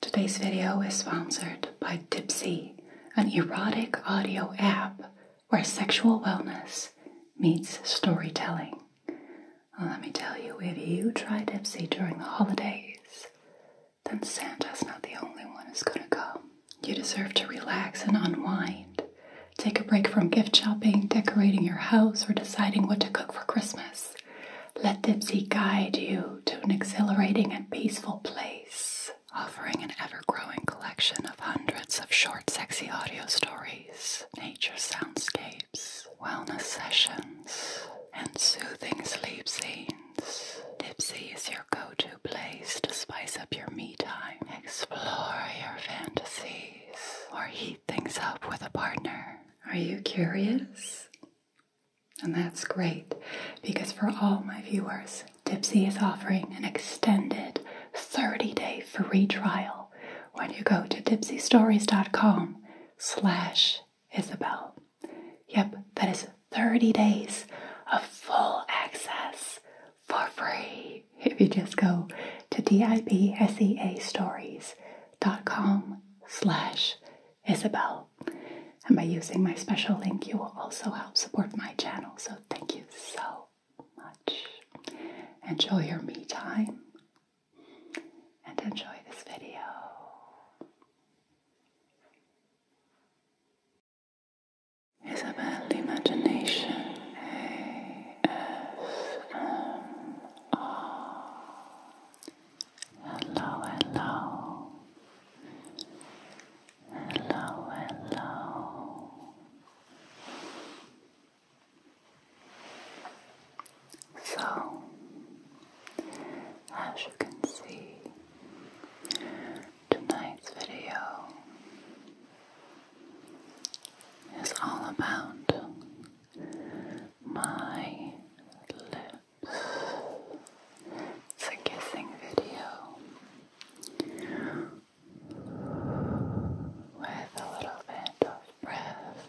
Today's video is sponsored by Dipsy, an erotic audio app where sexual wellness meets storytelling. let me tell you, if you try Dipsy during the holidays, then Santa's not the only one who's gonna come. You deserve to relax and unwind. Take a break from gift shopping, decorating your house, or deciding what to cook for Christmas. Let Dipsy guide you to an exhilarating and peaceful place, offering an ever growing collection of hundreds of short, sexy audio stories, nature soundscapes, wellness sessions, and soothing sleep scenes. Tipsy is your go to place to spice up your me time, explore your fantasies, or heat things up with a partner. Are you curious? And that's great because for all my viewers, Dipsy is offering an extended 30 day free trial when you go to dipsystories.com slash Isabelle, Yep, that is 30 days of full access for free if you just go to dipseastories.com slash Isabel. And by using my special link, you will also help support my channel. So thank you so much. Enjoy your me time and enjoy this video. Isabel Imagination Hello, hello. Hello, hello. So, as you can see, tonight's video is all about my lip it's a kissing video with a little bit of breath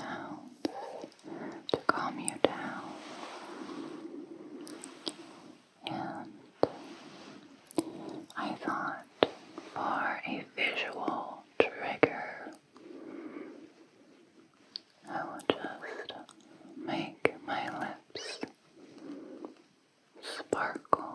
sounds to calm you down and I thought for a visual trigger I will just make my lips sparkle.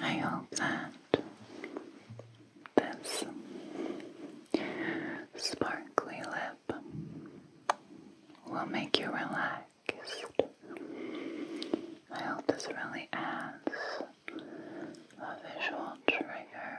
I hope that this sparkly lid tip will make you relaxed. I hope this really adds a visual trigger.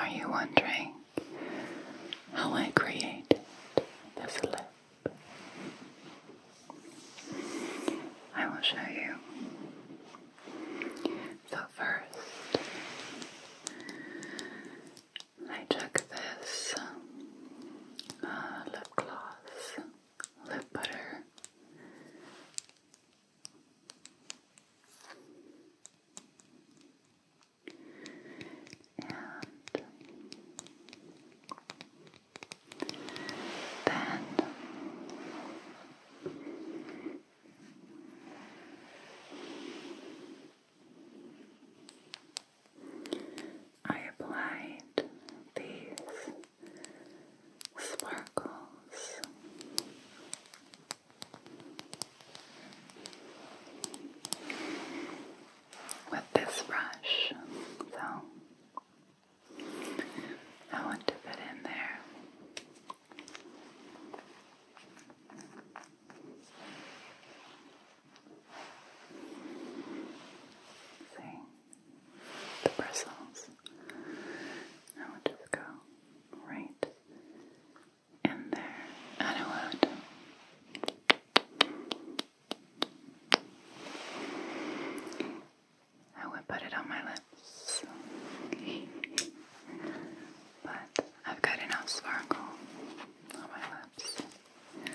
Are you wondering how I created this lip. I will show you. So first, I took this uh, lip gloss, lip butter. And then I applied these sparkles with this brush. So I want to put in there. See the bristles. I will just go right in there and out. I would put it on my lips, but I've got enough sparkle on my lips. Mm.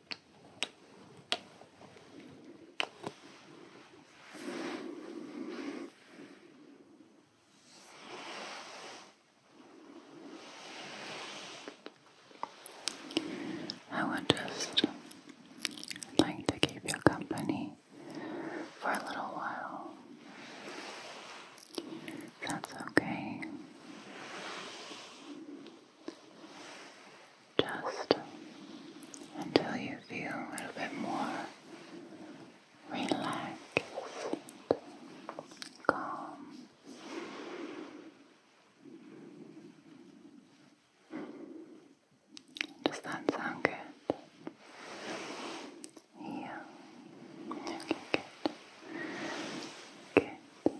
I would just like to keep you company for a little while. That's okay just until you feel a little bit more relaxed, calm. Does that sound good? Yeah. Okay, good. Good.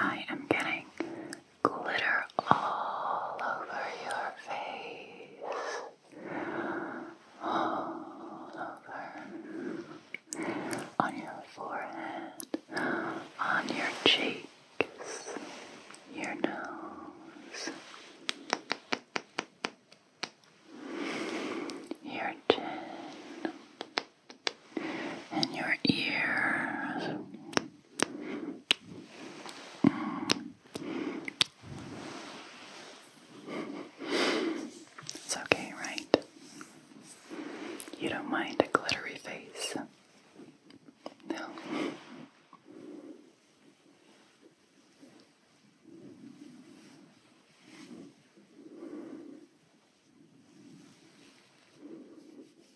I am getting glitter all over your face, all over on your forehead, on your cheeks, your nose, your chin. And your ears, it's okay, right? You don't mind a glittery face. No.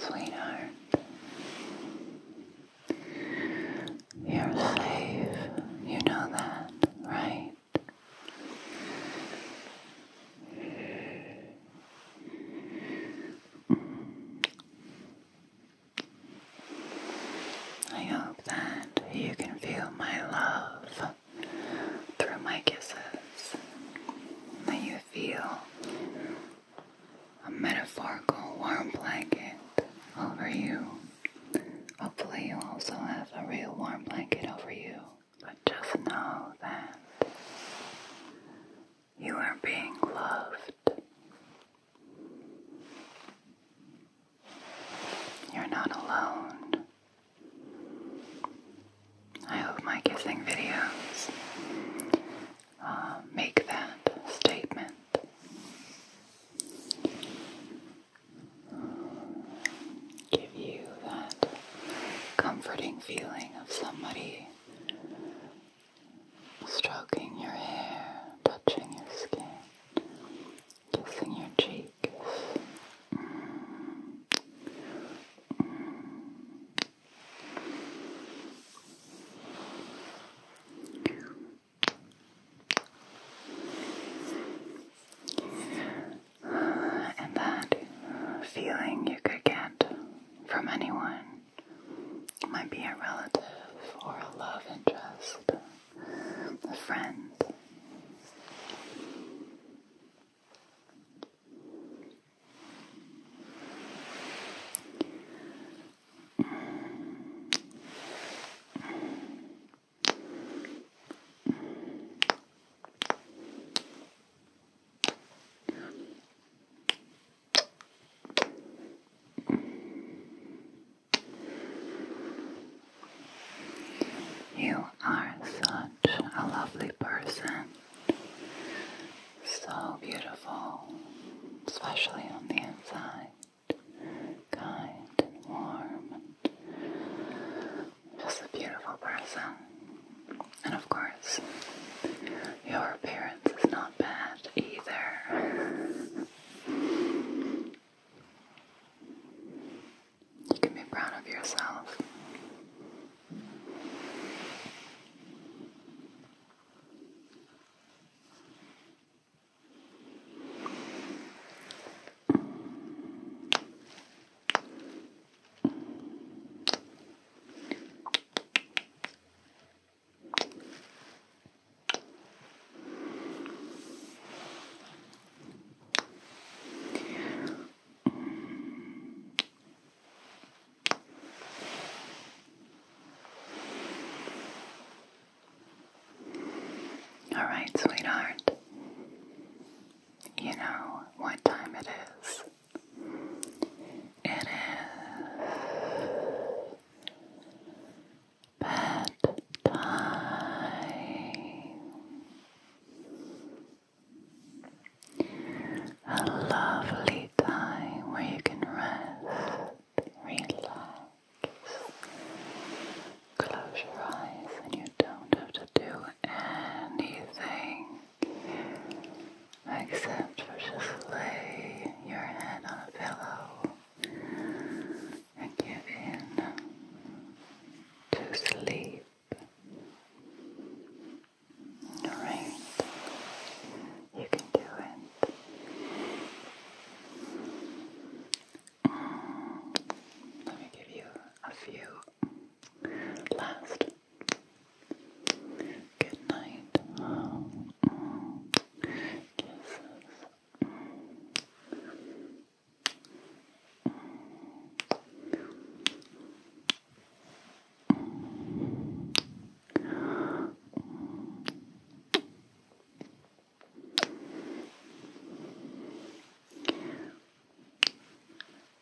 Sweetheart, you're safe. You know that, right? I hope that you can feel my love through my kisses, that you feel a metaphorical warm blanket over you. Hopefully, you also have a real warm blanket over you. But just know that you are being loved. You're not alone. I hope my kissing videos uh, make that statement give you that comforting feeling of somebody stroking your hair, touching your skin, kissing your cheek and that feeling you could get from anyone might be a relative or a love interest, a friend. You are such a lovely person, so beautiful, especially on the inside, kind and warm just a beautiful person. And of course, your appearance is not bad either. You can be proud of yourself. All right, sweetheart you know what time it is. It is bedtime. A lovely time where you can rest, relax, close your eyes, and you don't have to do anything except for just lay your head on a pillow and give in to sleep. Alright, you can do it. Mm, let me give you a few last. Good night. Kisses.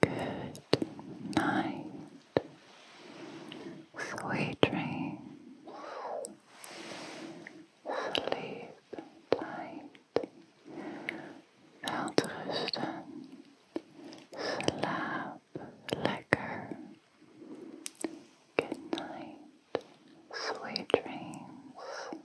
Good night. Sweet dreams. Sleep tight. Welterusten. Slaap lekker. Good night. Sweet dreams.